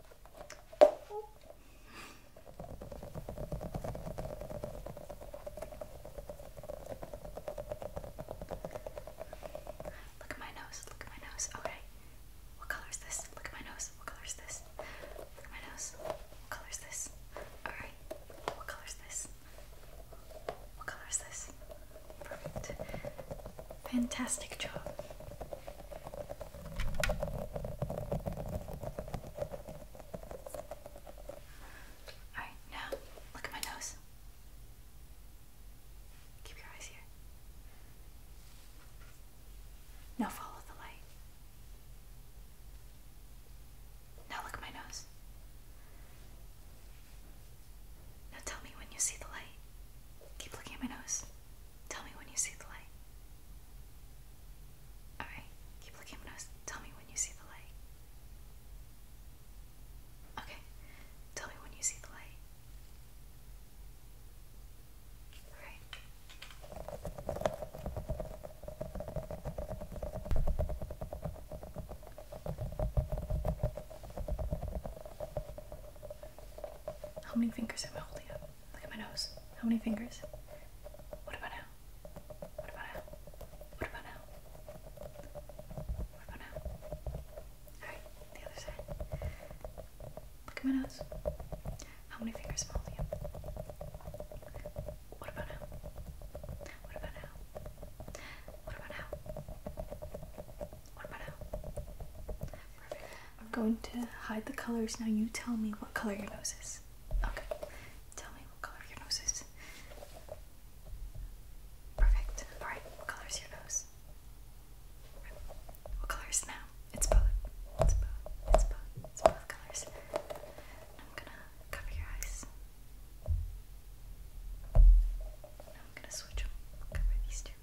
Look at my nose, look at my nose. Okay. What color is this? Look at my nose. What color is this? Look at my nose. What color is this? Alright. What color is this? What color is this? Perfect. Fantastic job. Alright, now look at my nose. Keep your eyes here. Now follow the light. Now look at my nose. Now tell me when you see the light. Keep looking at my nose. Tell me when you see the light. Alright, keep looking tell me when you see the light. Okay, tell me when you see the light. Alright. How many fingers am I holding up? Look at my nose. How many fingers? What about now? What about now? What about now? What about now? Alright, the other side. Look at my nose. How many fingers What about now? What about now? What about now? What about now? I'm going to hide the colors. Now you tell me what color your nose is. Okay. Tell me what color your nose is. Perfect. Alright, what color is your nose? What color is now? It's both. It's both. It's both. It's both colors. I'm gonna cover your eyes. I'm gonna switch them. Cover these two.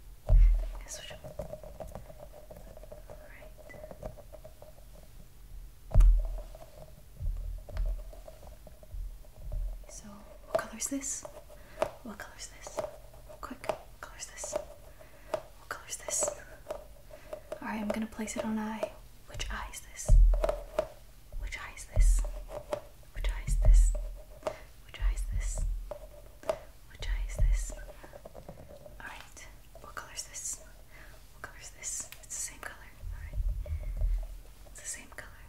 So, what color is this? What color is this? Quick, what color is this? What color is this? Alright, I'm gonna place it on eye. Which eye is this? Which eye is this? Which eye is this? Which eye is this? Which eye is this? Alright. What color is this? What color is this? It's the same color. Alright. It's the same color.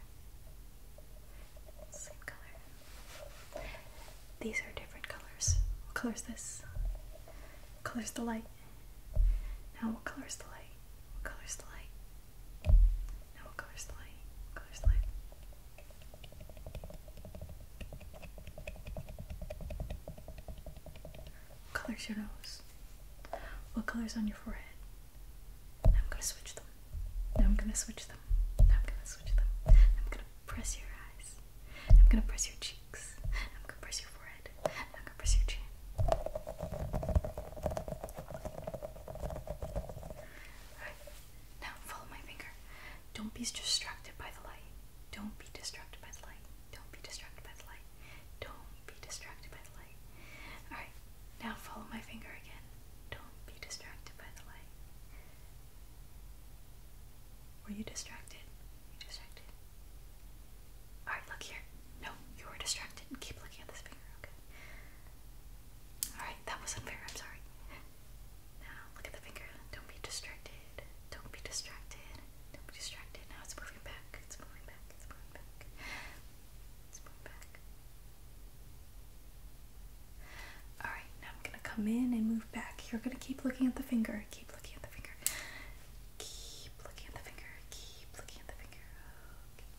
Same color. These are different colors. What color is this? What color is the light? Now what color is the light? What color is the light? Now what color is the light? What color is the light? Colors your nose. What colors on your forehead? Now I'm gonna switch them. I'm gonna switch them. I'm gonna switch them. I'm gonna press your eyes. I'm gonna press your cheeks. I'm gonna press your forehead. I'm gonna press your chin. Now follow my finger. Don't be distracted by the light. Don't be distracted by the light. Don't be distracted by the light. Don't be distracted by the light. Alright, now follow my finger again. Don't be distracted by the light. Were you distracted? you distracted? Alright, look here. No, you were distracted. Keep looking at this finger, okay? Alright, that was unfair. I'm sorry. Now look at the finger. Don't be distracted. Don't be distracted. Don't be distracted. Now it's moving back. It's moving back. It's moving back. It's moving back. Alright, now I'm gonna come in and move back. You're gonna keep looking at the finger. Keep looking at the finger. Keep looking at the finger. Keep looking at the finger. Okay.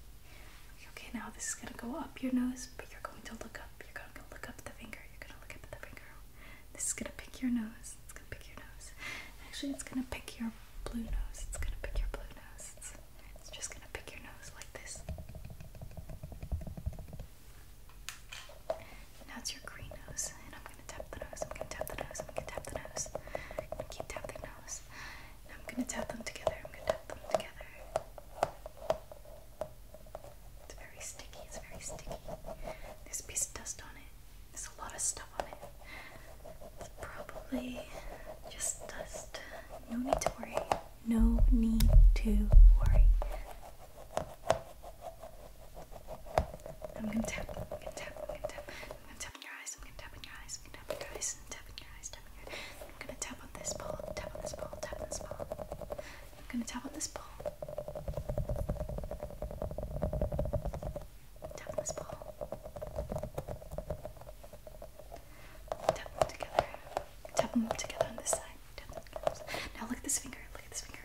Okay, now this is gonna go up your nose, but you're going to look up. I'm gonna look up the finger. You're gonna look up at the finger. This is gonna pick your nose. It's gonna pick your nose. Actually, it's gonna pick your blue nose. It's gonna pick your blue nose. It's, just gonna pick your nose like this. Now it's your green nose, and I'm gonna tap the nose. I'm gonna tap the nose. I'm gonna tap the nose. I'm gonna keep tapping the nose. I'm gonna tap them together. I'm gonna tap them together. It's very sticky, it's very sticky. There's a piece of dust on it. There's a lot of stuff on it. It's probably just dust. No need to worry. No need to worry. I'm gonna tap, I'm gonna tap, I'm gonna tap, I'm gonna tap on your eyes, I'm gonna tap on your eyes, I'm gonna tap on your eyes, and tap on your eyes, tap on your eyes. I'm gonna tap on this ball, tap on this ball, tap on this ball. I'm gonna tap on this ball. Tap on this ball. Tap them together. Tap them together on this side. Now look at this finger. Look at this finger.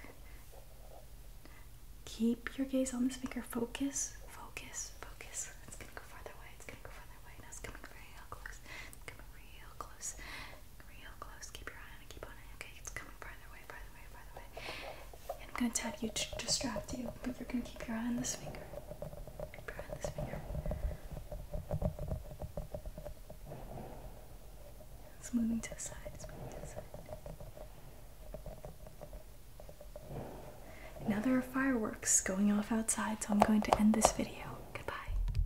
Keep your gaze on this finger. Focus. Focus. Focus. It's gonna go farther away. It's gonna go farther away. Now it's coming real close. coming real close real close. Keep your eye on it. Keep on it. Okay, it's coming farther away, farther away, farther away. I'm gonna tap you to distract you, but you're gonna keep your eye on this finger. Keep your eye on this finger. It's moving to the side. It's moving Now there are fireworks going off outside, so I'm going to end this video. Goodbye.